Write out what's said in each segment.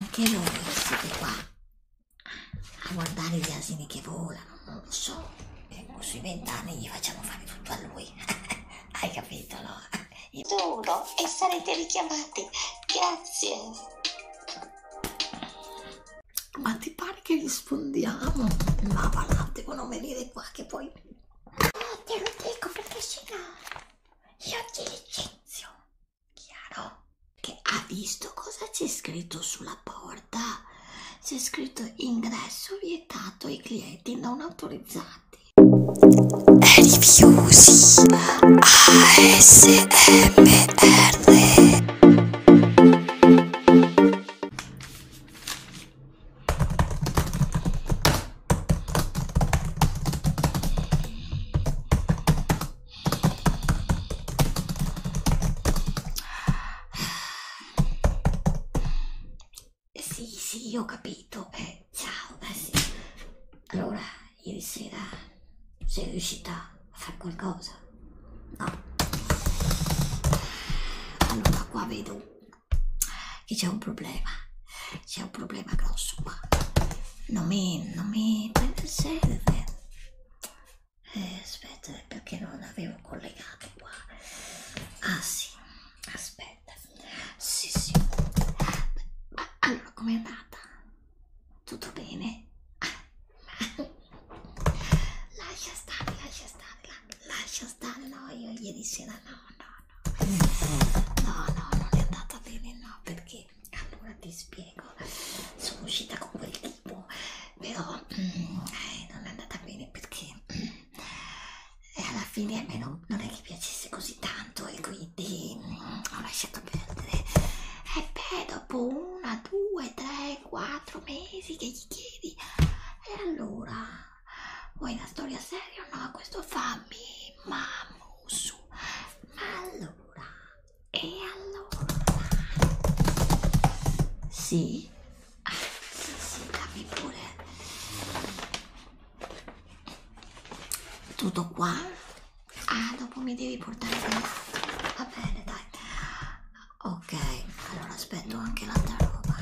Anche voi siete qua a guardare gli asini che volano, non lo so. E eh, sui vent'anni gli facciamo fare tutto a lui. Hai capito, no? Duro e sarete richiamati. Grazie. Ma ti pare che rispondiamo? Ma va là, devono venire qua che poi... Eh, te lo dico perché sennò io ti licenzio chiaro? Che ha visto cosa c'è scritto sulla porta? C'è scritto ingresso vietato ai clienti non autorizzati. Rifiusi ASMR. Sì, sì, ho capito. Eh, ciao, eh sì. Allora, ieri sera sei riuscita a fare qualcosa? No. Allora, qua vedo che c'è un problema. C'è un problema grosso qua non mi, non mi serve eh, aspetta perché non avevo collegato qua ah sì aspetta sì sì allora com'è andata? tutto bene? lascia stare lascia stare la, lascia stare no io ieri sera no no no no no non è andata bene no perché allora ti spiego sono uscita con quel tipo però mm, eh, non è andata bene perché mm, alla fine a me non, non è che piacesse così tanto e quindi mm, ho lasciato perdere e eh, beh dopo una due tre quattro mesi che gli chiedi e allora vuoi una storia seria o no questo fammi mamma su ma allora e allora? Sì? Ah, sì, dammi pure. Tutto qua? Ah, dopo mi devi portare quell'altro. Va bene, dai. Ok, allora aspetto anche l'altra roba.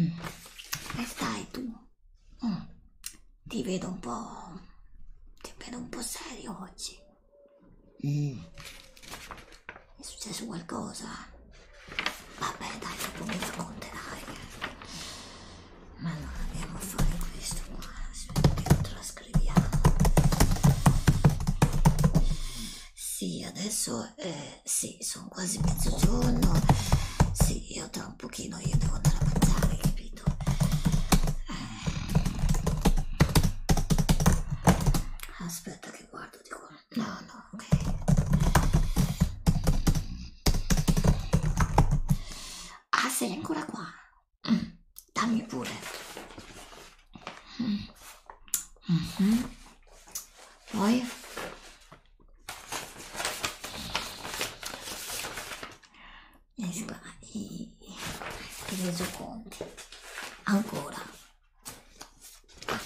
Mm. E stai tu? Mm. Ti vedo un po'. Ti vedo un po' serio oggi. Mm. È successo qualcosa? Vabbè, dai, dopo mi racconterai. Ma non andiamo a fare questo qua. Aspetta che lo trascriviamo. Sì, adesso eh, sì, sono quasi mezzogiorno. Sì, io tra un pochino io devo andare a mangiare, capito aspetta che guardo di qua no no ok ah sei ancora qua mm, dammi pure mm. Mm -hmm. poi i, i, i resoconti ancora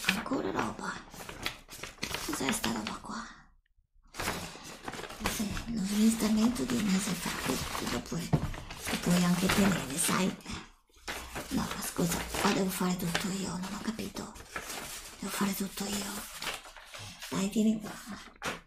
ancora roba cos'è sta roba qua sì, lo smistamento di un mese fa lo puoi, lo puoi anche tenere sai no ma scusa qua devo fare tutto io non ho capito devo fare tutto io dai vieni qua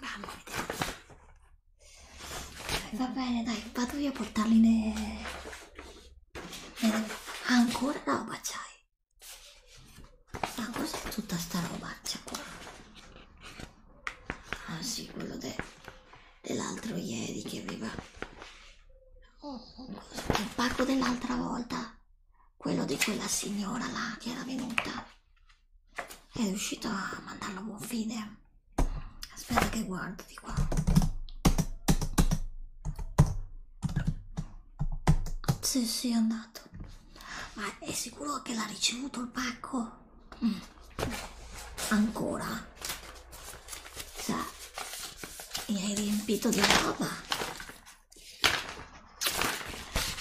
Mamma mia. Va bene, dai, vado io a portarli ne... ne... Ancora roba c'hai? Ma cos'è tutta sta roba c'è qua? Ah sì, quello de... dell'altro ieri che aveva il parco dell'altra volta, quello di quella signora là che era venuta, è riuscito a mandarlo a buon fine. Aspetta che guardo di qua. Sì, sì, è andato. Ma è sicuro che l'ha ricevuto il pacco? Mm. Ancora? Cioè, mi hai riempito di roba.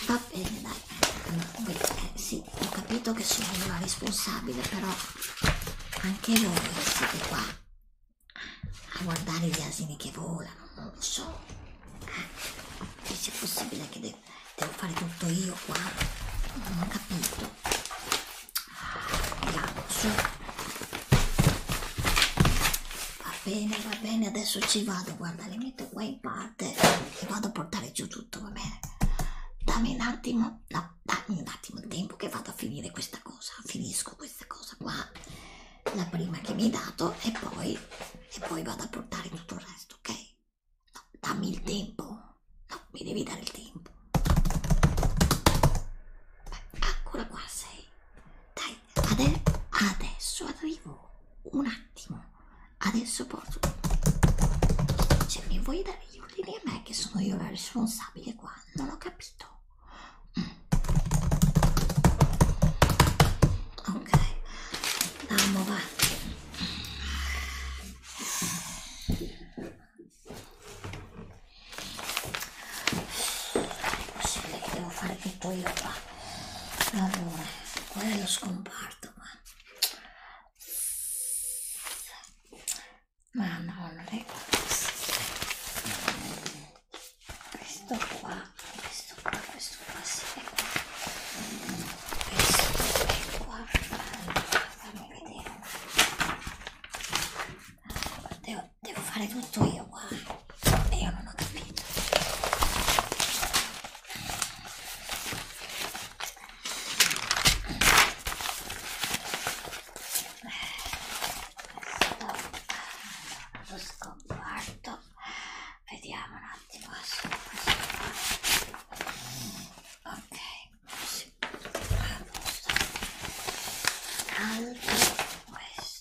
Va bene, dai. Allora, eh, sì, ho capito che sono una responsabile, però anche voi siete qua a guardare gli asini che volano, non lo so. Eh, se è possibile che de devo fare tutto io qua, non ho capito. Andiamo, su. Va bene, va bene, adesso ci vado, guarda, le metto qua in parte e vado a portare giù tutto, va bene? Dammi un attimo, no, dammi un attimo il tempo che vado a finire questa cosa, finisco questa cosa qua, la prima che mi hai dato e poi, e poi vado a portare tutto il resto, ok? No, dammi il tempo, no, mi devi dare il tempo. Beh, ancora qua sei. Dai, ade adesso arrivo. Un attimo. Adesso porto. Se cioè, mi vuoi dare gli ordini a me che sono io la responsabile qua, non ho capito. Mm. Ok. Andiamo va è possibile che devo fare tutto io qua allora quello scomparto ma ma no non è questo qua questo qua questo qua si sì, è qua questo è qua allora, fammi vedere allora, devo Devo fare tutto io qua. Io non ho capito. Sto scomparto. Vediamo un attimo. Eh, ok, così. Allora, questo.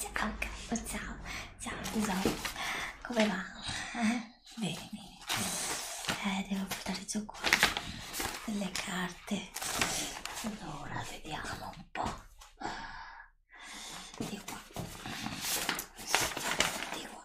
Ciao, ciao, ciao, ciao tesoro, come va? Eh? Bene, bene. Eh, devo buttare giù qua delle carte. Allora, vediamo un po'. Di qua. Di qua.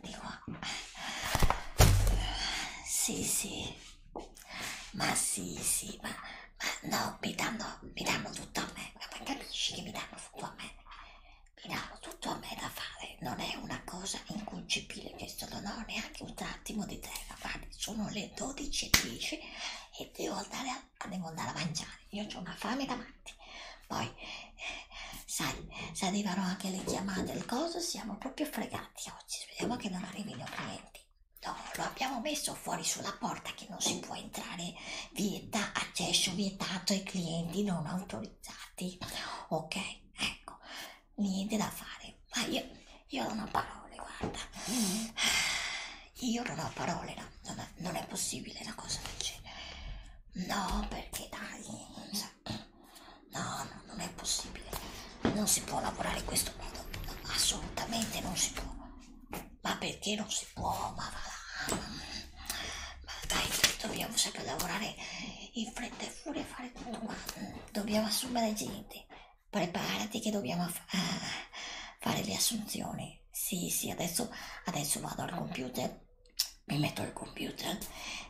dico sì sì ma sì sì ma, ma no mi danno mi danno tutto a me ma capisci che mi danno tutto a me mi danno tutto a me da fare non è una cosa inconcepibile questo non ho neanche un attimo di terra guardi sono le 12.10 e devo andare a, devo andare a mangiare io ho una fame davanti poi eh, sai se arrivano anche le chiamate al coso siamo proprio fregati oggi speriamo che non arrivino clienti no lo abbiamo messo fuori sulla porta che non si può entrare vieta accesso vietato ai clienti non autorizzati ok ecco niente da fare ma io io non ho parole guarda mm. io non ho parole no, non, è, non è possibile la cosa del genere No, perché dai, so. no, no, non è possibile. Non si può lavorare in questo modo. No, assolutamente non si può. Ma perché non si può? Ma, va, ma dai, dobbiamo sempre lavorare in fretta e furia e fare tutto quanto. Dobbiamo assumere gente. Preparati che dobbiamo eh, fare le assunzioni. Sì, sì, adesso, adesso vado al computer mi metto al computer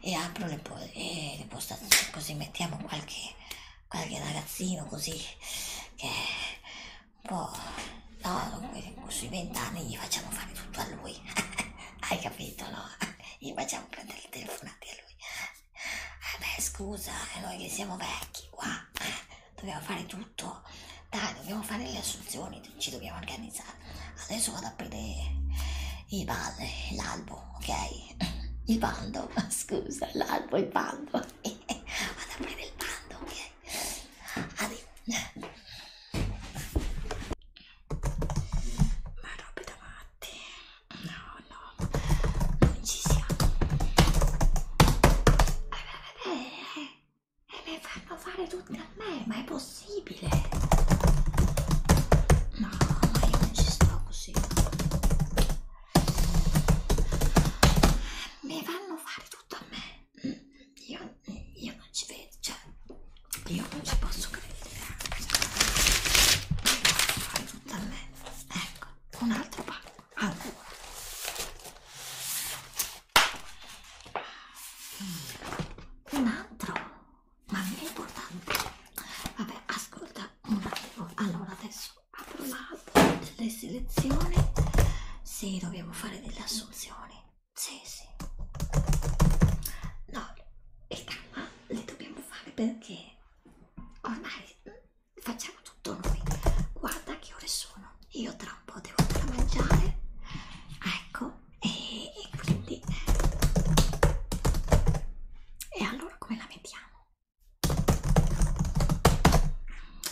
e apro le, po- e le postate così mettiamo qualche, qualche ragazzino così che un po' no, sui vent'anni gli facciamo fare tutto a lui hai capito no? gli facciamo prendere il telefonate a lui eh beh scusa eh, noi che siamo vecchi qua eh, dobbiamo fare tutto dai dobbiamo fare le assunzioni ci dobbiamo organizzare adesso vado a aprire il bal, l'albo, ok? Il baldo, scusa, l'albo, il baldo. vado a aprire il baldo, ok? Addio. Ma robe davanti. No, no. Non ci siamo. E eh, eh, eh, eh, me fanno fare tutto pure a me, ma è possibile? No, ma io non ci sto così. Me vanno a fare tutto a me. Io, io non ci vedo, cioè, io non ci posso credere. Me vanno a fare tutto a me. Ecco, un altro pacco. Allora. Un altro ma non è importante vabbè ascolta un attimo allora adesso apro l'app delle selezioni sì dobbiamo fare delle assunzioni sì sì no e calma le dobbiamo fare perché ormai mm, facciamo tutto noi guarda che ore sono io tra un po' devo andare a mangiare ecco e, e quindi e allora come la mettiamo?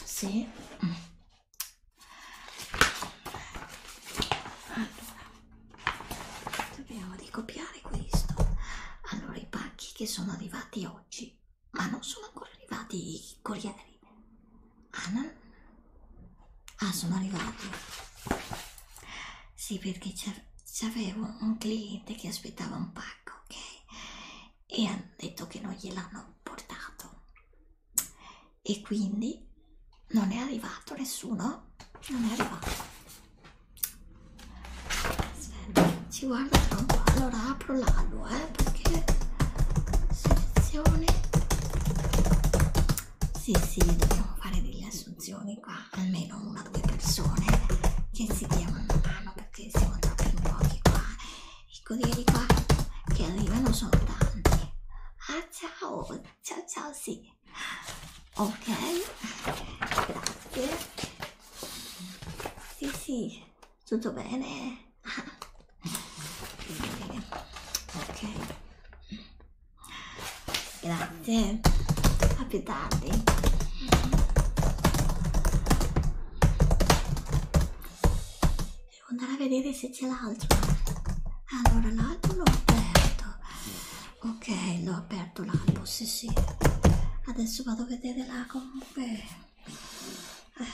Sì. Allora, dobbiamo ricopiare questo. Allora, i pacchi che sono arrivati oggi, ma non sono ancora arrivati i corrieri. Ah, no, Ah, sono arrivati. Sì, perché c'avevo un cliente che aspettava un pacco, ok? E hanno detto che non gliel'hanno portato. E quindi non è arrivato nessuno. Non è arrivato. Aspetta, ci guarda un po'. Allora apro l'albo, eh, perché selezione sì, sì, dobbiamo fare delle assunzioni qua, almeno una o due persone che si diano una mano perché siamo troppo in pochi qua. I corrieri qua che arrivano sono tanti. Ah, ciao, ciao, ciao, sì. Ok, grazie. Sì, sì, tutto bene. Ok, Grazie. A più tardi. Devo andare a vedere se c'è l'altro. Allora, l'album l'ho aperto. Ok, l'ho aperto l'album, sì sì. Adesso vado a vedere là comunque. Eh.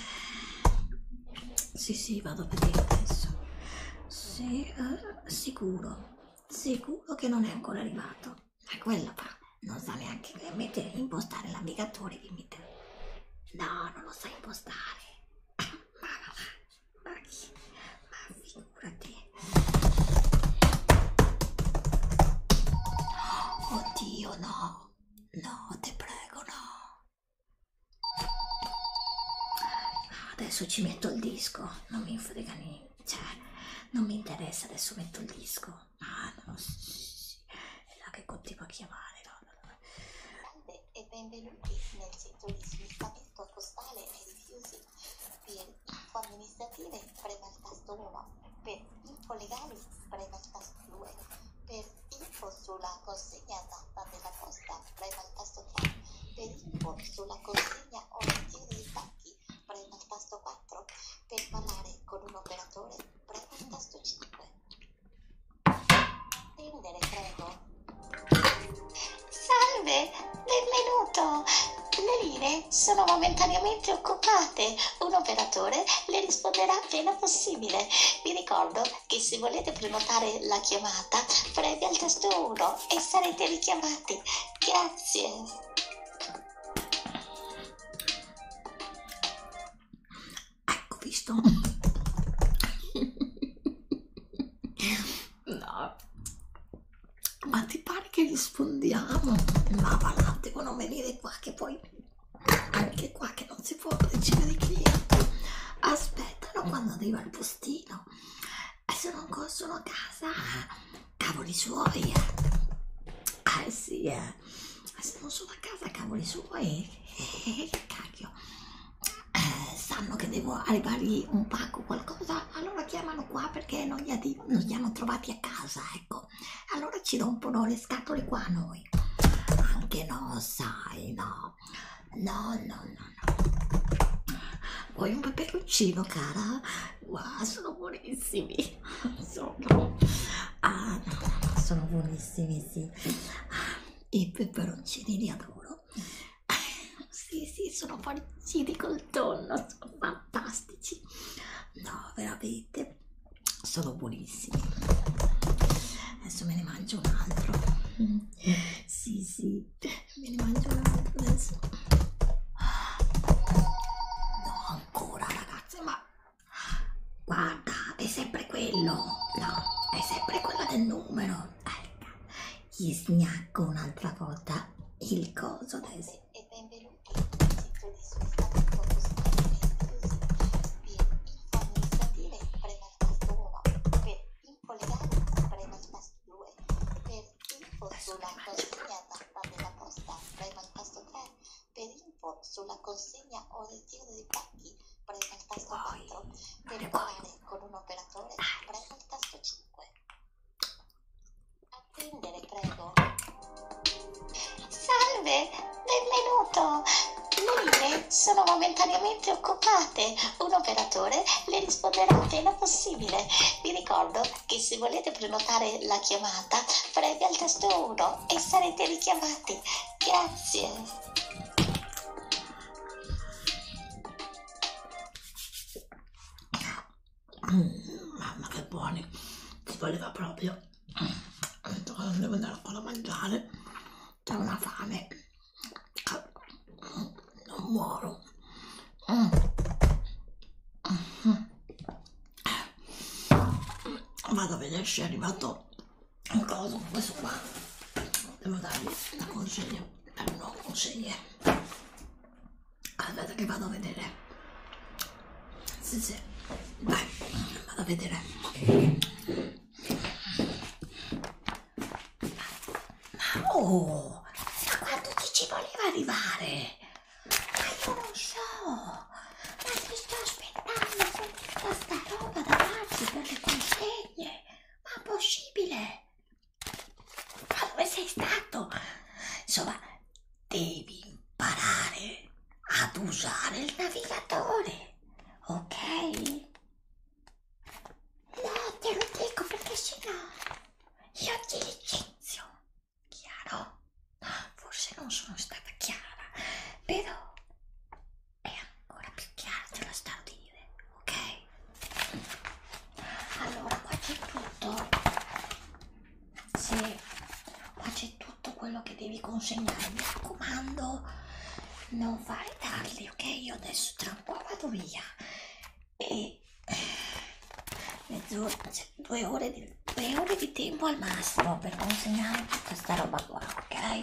Sì, sì, vado a vedere adesso. Sì, eh sicuro, sicuro che non è ancora arrivato. È quello qua, non sa neanche mettere, impostare l'ammigatore di mettere. No, non lo sa impostare. Ma ma ma, ma, chi? ma figurati. Oddio no, no, te prego no. Adesso ci metto il disco, non mi frega niente, cioè, non mi interessa, adesso metto il disco. Ah, no, sì, sì, è là che continua a chiamare, no, no, no. E benvenuti nel centro di smistamento postale e rifiuti. Per info amministrative prema il tasto 1, per info legali prema il tasto 2, per info sulla consegnata stampa della costante prema il tasto 3 per input sulla consegna o lezione di pacchi prema il tasto 4 per parlare con un operatore prema il tasto 5 tendere prego salve benvenuto le linee sono momentaneamente occupate. Un operatore le risponderà appena possibile. Vi ricordo che se volete prenotare la chiamata telefonata premi al tasto 1 e sarete richiamati. Grazie. Ecco visto. no. Ma ti pare che rispondiamo? Ma va là, devono venire qua che poi anche qua che non si può ricevere i clienti aspettano quando arriva il postino e se non costano a casa cavoli suoi ah eh sì eh. se non sono a casa cavoli suoi eh, che cacchio eh, sanno che devo arrivargli un pacco qualcosa allora chiamano qua perché non gli, addio, non gli hanno trovati a casa ecco allora ci rompono le scatole qua a noi anche no sai no no, no, no, no. Vuoi un peperoncino, cara? Wow, sono buonissimi. Sono, ah, no, no, no, sono buonissimi, sì. Ah, I peperoncini li adoro. Sì, sì, sono farciti col tonno, sono fantastici. No, veramente, sono buonissimi. Adesso me ne mangio un altro. Sì, sì mi mangio adesso no ancora ragazze ma guarda è sempre quello no è sempre quello del numero ecco gli snacco un'altra volta il coso adesso e benvenuti al sito di sostanza positiva e inclusiva via il fondo di statile prema il tasto 1 per piccole gambe rimasto due, per info sulla consegna tappa della posta rimasto tre, per info sulla consegna o ritiro dei pacchi premo il tasto 4, per parlare con un operatore premo il tasto 5. Attendere prego. Salve, benvenuto! Luine sono momentaneamente occupata chiamate un operatore le risponderà appena possibile. Vi ricordo che se volete prenotare la chiamata, premi al tasto 1 e sarete richiamati. Grazie. Mm, mamma che buoni, si voleva proprio. Mm, Devo andare ancora a mangiare, c'è una fame non muoro vado a vedere se è arrivato un coso questo qua devo dargli la consegna per eh, non consegne aspetta che vado a vedere sì sì vai vado a vedere ma oh, da quanto ti ci voleva arrivare? Ma io non so, ma ti sto aspettando con tutta sta roba da farsi per le consegne. Ma possibile? Ma dove sei stato? Insomma, devi imparare ad usare il navigatore, ok? No, te lo dico perché sennò io ti licenzio, chiaro? Forse non sono stata chiara, però è ancora più chiara, te la sto a dire, ok? Allora, qua c'è tutto. Sì, qua c'è tutto quello che devi consegnare, mi raccomando, non fare tardi, ok? Io adesso tra un po' vado via e mezz'ora, cioè due ore, di, due ore di tempo al massimo per consegnare tutta sta roba qua, ok?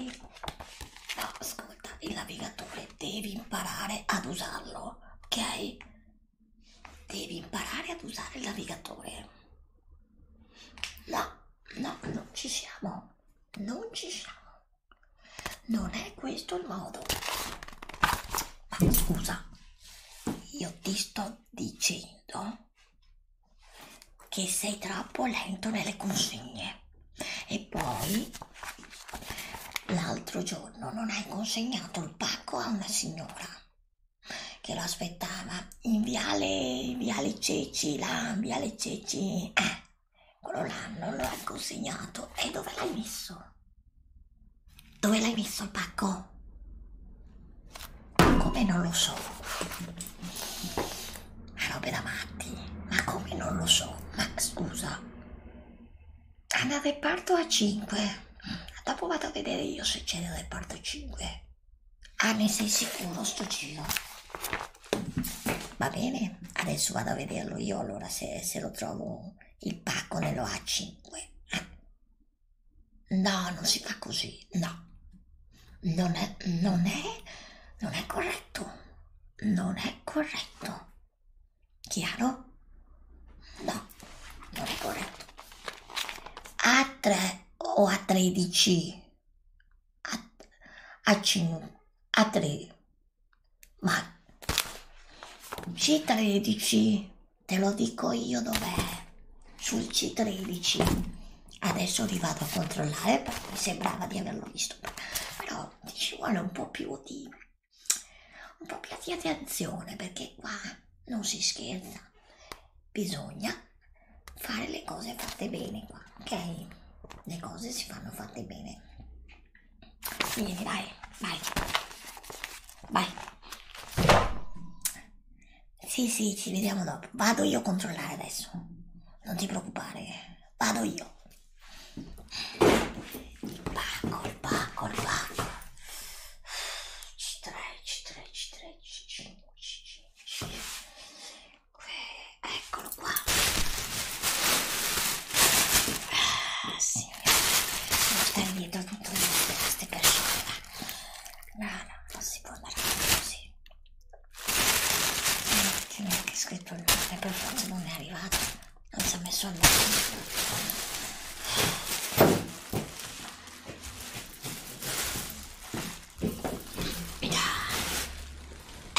No, ascolta, il navigatore devi imparare ad usarlo, ok? Devi imparare ad usare il navigatore. No, no, non ci siamo, non ci siamo. Non è questo il modo. Ma scusa, io ti sto dicendo che sei troppo lento nelle consegne. E poi l'altro giorno non hai consegnato il pacco a una signora che lo aspettava in viale, viale Ceci, là, viale Ceci. Eh, quello là non lo hai consegnato. E dove l'hai messo? Dove l'hai messo il pacco? Come non lo so? Ma robe da matti. Ma come non lo so? Ma scusa. Hanno reparto a 5. Dopo vado a vedere io se c'è il reparto 5. Ah, ne sei sicuro sto giro? Va bene, adesso vado a vederlo io allora se, se lo trovo il pacco lo ha 5. No, non si fa così, no. Non è, non è, non è corretto. Non è corretto. Chiaro? No, non è corretto. A 3 o a 13? A, a 5, a 3, ma C13, te lo dico io dov'è. Sul C13. Adesso li vado a controllare perché mi sembrava di averlo visto. Però ci vuole un po' più di un po' più di attenzione perché qua non si scherza. Bisogna fare le cose fatte bene qua, ok? Le cose si fanno fatte bene. Vieni, dai, vai. Vai. Sì, sì, ci vediamo dopo. Vado io a controllare adesso. Non ti preoccupare. Vado io. Il pacco, il pacco, il pacco. C3, C3, C3, C5, C5, C5. Eccolo qua. Ah, sì serio portare dietro tutto il mondo per queste persone no no non si può andare così e non è neanche scritto il nome per forza non è arrivato non si è messo al nome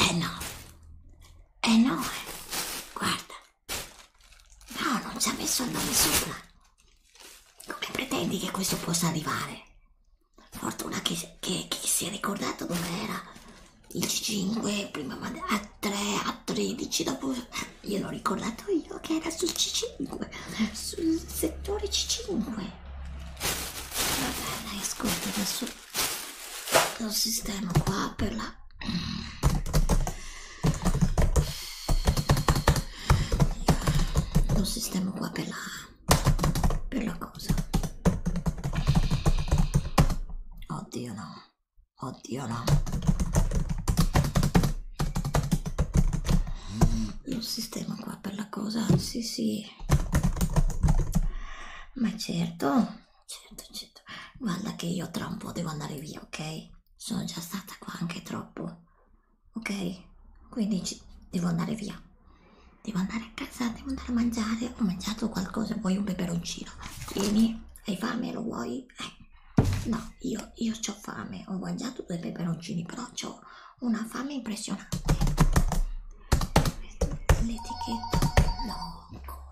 eh no, eh no, eh. guarda, No, non ci ha messo il nome sopra. Come pretendi che questo possa arrivare? Fortuna che, che, che si è ricordato dov'era. Il C5, prima A3, A13, dopo... Eh, gliel'ho ricordato io che era sul C5, sul settore C5. Vabbè, dai, ascolta, adesso lo sistema qua per la io lo sistemo qua per la, per la cosa. Oddio no, oddio no. Lo sistema qua per la cosa, sì sì. Ma certo. Certo, certo. Guarda che io tra un po' devo andare via, ok? Sono già stata qua anche troppo, ok? Quindi ci... devo andare via. Devo andare a casa, devo andare a mangiare. Ho mangiato qualcosa, vuoi un peperoncino? Vieni, hai fame, lo vuoi? Eh. No, io, io ho fame. Ho mangiato due peperoncini, però ho una fame impressionante. L'etichetta? No, ancora.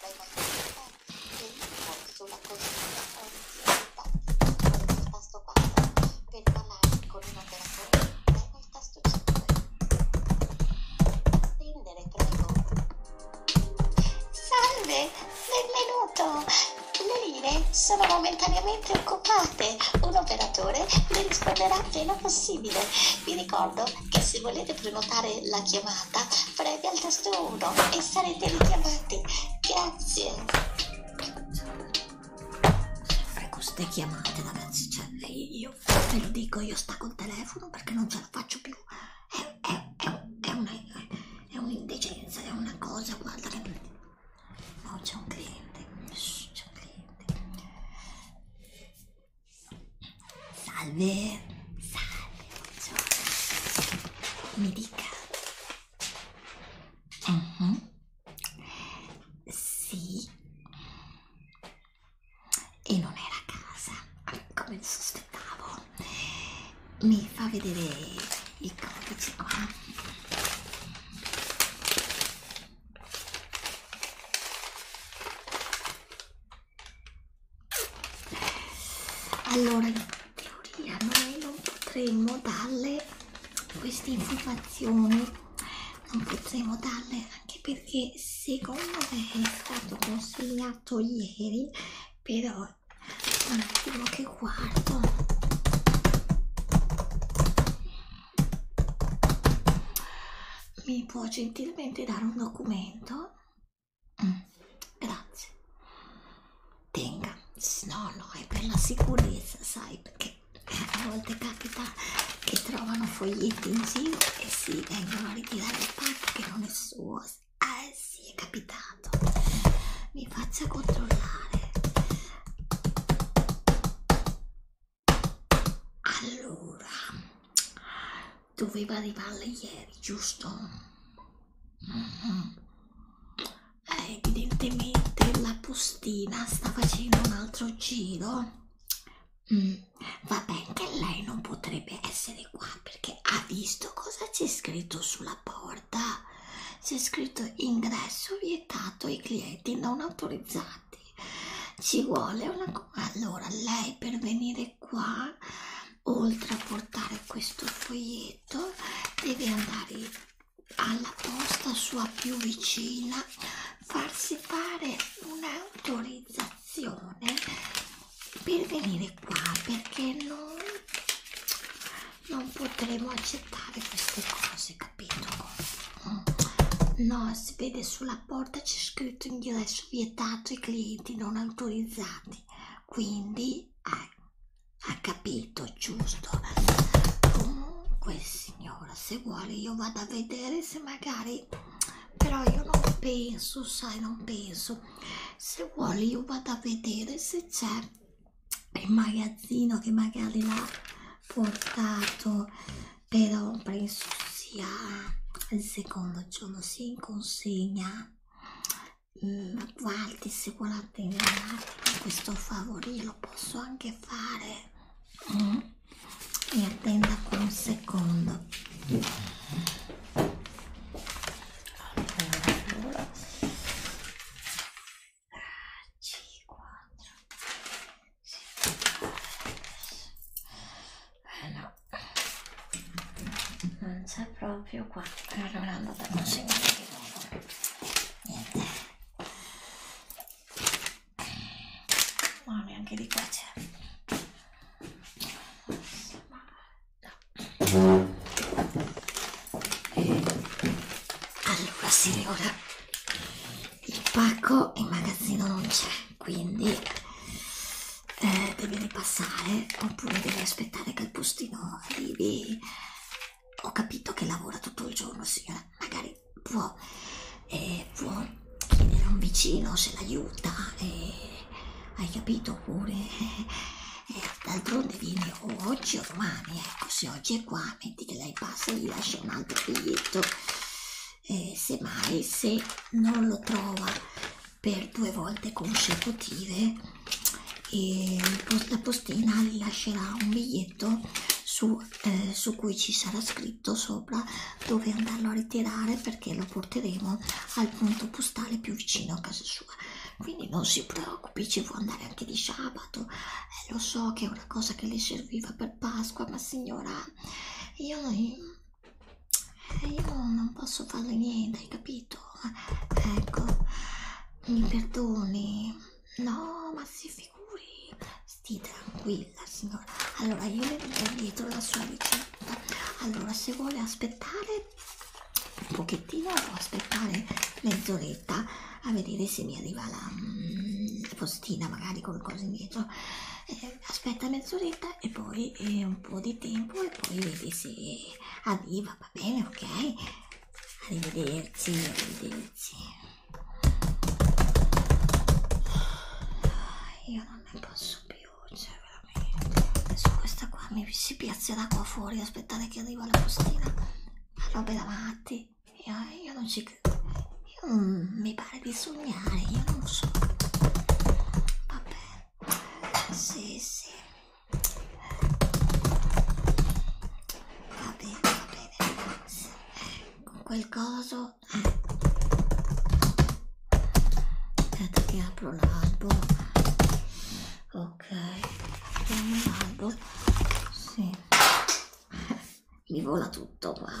dai maestri che mi corso la consiglia orizzonte con il tasto 4 per parlare con un operatore premo il tasto 5 prendere prego salve benvenuto le linee sono momentaneamente occupate un operatore le risponderà appena possibile vi ricordo che se volete prenotare la chiamata premi al tasto 1 e sarete richiamati. Grazie. Ecco, sempre queste chiamate, ragazzi, cioè, io ve lo dico, io sta col telefono perché non ce la faccio più. È, è, è, è, una, è un'indecenza, è una cosa, guarda che... No, c'è un cliente, c'è un cliente. Salve, salve funziona mi dica uh mhm. -huh. sì e non era a casa come sospettavo mi fa vedere il codice ah. Allora, in teoria noi non potremmo darle queste informazioni, non potremmo darle anche perché secondo me è stato consegnato ieri, però un attimo che guardo. Mi può gentilmente dare un documento? Mm, grazie. Tenga. No, no, è per la sicurezza, sai, perché a volte capita che trovano foglietti in giro e si sì, vengono a ritirare il pacco che non è suo. Eh sì, è capitato. Mi faccia controllare. Allora, doveva arrivarle ieri, giusto? evidentemente la postina sta facendo un altro giro mm, vabbè che lei non potrebbe essere qua perché ha visto cosa c'è scritto sulla porta c'è scritto ingresso vietato ai clienti non autorizzati ci vuole una allora lei per venire qua oltre a portare questo foglietto deve andare alla posta sua più vicina farsi fare un'autorizzazione per venire qua perché non, non potremo accettare queste cose capito no si vede sulla porta c'è scritto ingresso vietato ai clienti non autorizzati quindi ecco ha capito giusto comunque signora se vuole io vado a vedere se magari però io non penso sai non penso se vuole io vado a vedere se c'è il magazzino che magari l'ha portato però penso sia il secondo giorno si sì, in consegna mm, guardi se volate in un attimo questo favore lo posso anche fare mm. mi attenda con un secondo allora, allora. 5, 4, 6, 9, 10. Eh no, non c'è proprio qua allora andate a consegnare di nuovo niente ma neanche di qua c'è no. allora signora il pacco in magazzino non c'è quindi eh, devi ripassare oppure devi aspettare che il postino arrivi. Ho capito che lavora tutto il giorno, signora. Magari può, eh, può chiedere a un vicino se l'aiuta. Eh, hai capito pure? Eh, eh, D'altronde viene o oggi o domani. Ecco, se oggi è qua, metti che lei passa e gli lascia un altro biglietto. Eh, semmai se non lo trova per due volte consecutive e la postina vi lascerà un biglietto su, eh, su cui ci sarà scritto sopra dove andarlo a ritirare perché lo porteremo al punto postale più vicino a casa sua quindi non si preoccupi ci può andare anche di sabato eh, lo so che è una cosa che le serviva per Pasqua ma signora io, io non posso farle niente hai capito capito. Ecco, mi perdoni. No, ma si figuri. Stia tranquilla, signora. Allora, io le metto dietro la sua ricetta. Allora, se vuole aspettare un pochettino, o aspettare mezz'oretta a vedere se mi arriva la, mm, la postina, magari qualcosa indietro. Eh, aspetta mezz'oretta e poi eh, un po' di tempo e poi vedi se arriva va bene, ok? Arrivederci, arrivederci. Ah, io non ne posso più, cioè veramente. Adesso questa qua mi si piazzerà qua fuori, aspettare che arriva la postina. Ma robe davanti. Io, io non ci credo. Io non, mi pare di sognare, io non so. Vabbè. Sì, sì va bene, va bene con quel coso eh. aspetta che apro l'albo ok apriamo l'albo sì. mi vola tutto qua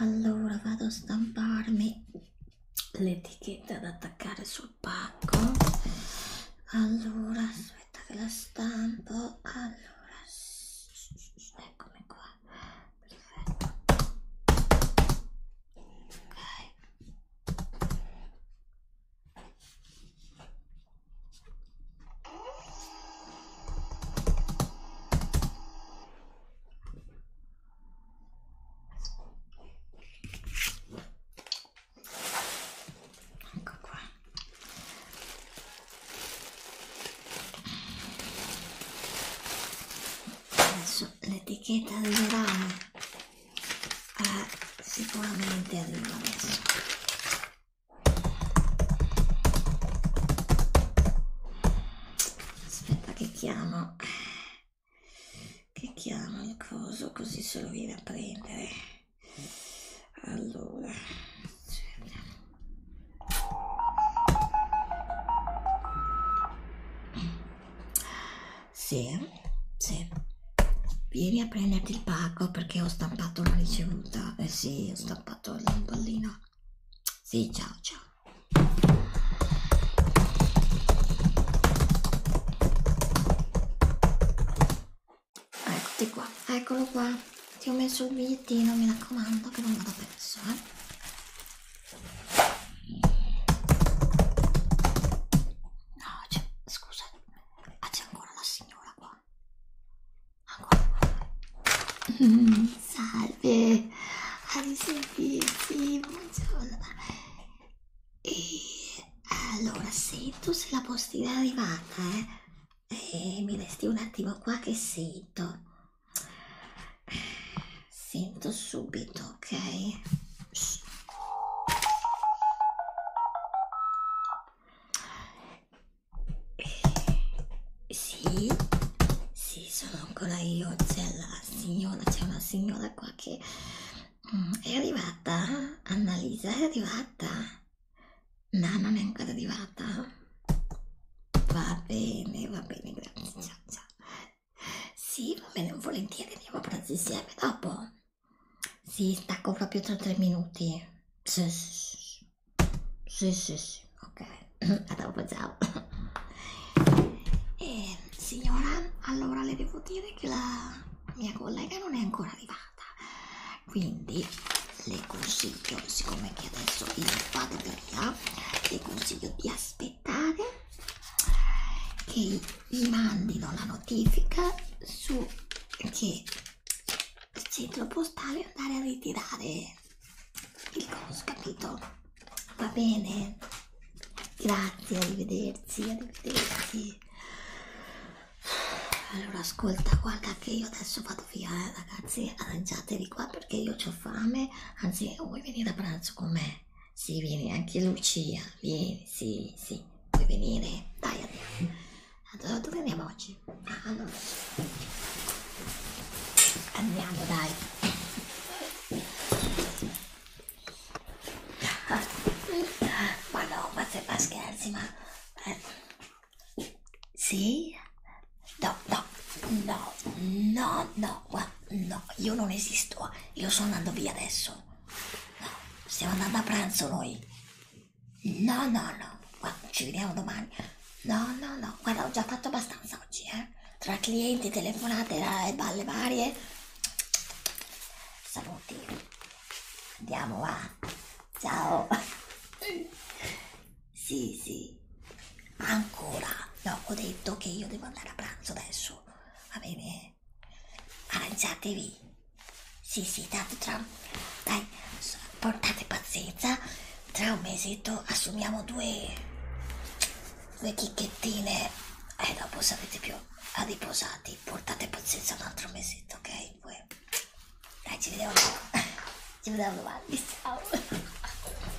allora vado a stamparmi l'etichetta da attaccare sul pacco allora aspetta che la stampo allora eccomi qua perfetto ok ecco qua adesso l'etichetta dell'orale eh, sicuramente arriva adesso aspetta che chiamo che chiamo il coso così se lo viene a prendere allora sì, sì. vieni a prenderti il pacco perché ho stampato la ricevuta eh sì ho stampato il pallino sì ciao ciao Eccoti qua, eccolo qua. Ti ho messo il bigliettino, mi raccomando, che non vado perso, eh. No, c'è, scusa, ah, c'è ancora la signora qua. Ancora qua. Mm, salve, a riservirsi, buongiorno. E allora, se tu sei la postina è arrivata, eh, eh, mi resti un attimo qua che sento. Sento subito, ok? Shh. Eh, sì, sì, sono ancora io, c'è la signora, c'è una signora qua che è arrivata? Annalisa è arrivata? No, non è ancora arrivata. Va bene, va bene, grazie. Ciao, ciao. Sì, va bene, volentieri andiamo a pranzo insieme dopo. Sì, stacco proprio tra tre minuti. Sì, sì, sì, sì, sì. ok. A dopo, ciao. E, eh, signora, allora le devo dire che la mia collega non è ancora arrivata quindi le consiglio siccome che adesso io vado per là le consiglio di aspettare che vi mandino la notifica su che il centro postale andare a ritirare il coso capito va bene Grazie, arrivederci, arrivederci. Allora ascolta, guarda che io adesso vado via, eh, ragazzi, arrangiatevi qua perché io ho fame, anzi vuoi venire a pranzo con me? Sì, vieni, anche Lucia, vieni, sì, sì, vuoi venire? Dai, andiamo. Allora, dove andiamo oggi? Ah, allora. Andiamo, dai ma no, ma se fa scherzi, ma... Eh. Sì? No, no, no, no, no, no, io non esisto, io sto andando via adesso. No, stiamo andando a pranzo noi. No, no, no, guarda, ci vediamo domani. No, no, no, guarda, ho già fatto abbastanza oggi, eh. Tra clienti, telefonate e eh, balle varie. Saluti. Andiamo, va. Ciao. Sì, sì. Ancora. No, ho detto che io devo andare a pranzo adesso. Va bene. Arrangiatevi. Sì, sì, tanto tra... Dai, portate pazienza. Tra un mesetto assumiamo due... due chicchettine. E eh, dopo sapete più riposati, portate pazienza un altro mesetto, ok? Poi... Dai, ci vediamo dopo. ci vediamo domani, ciao.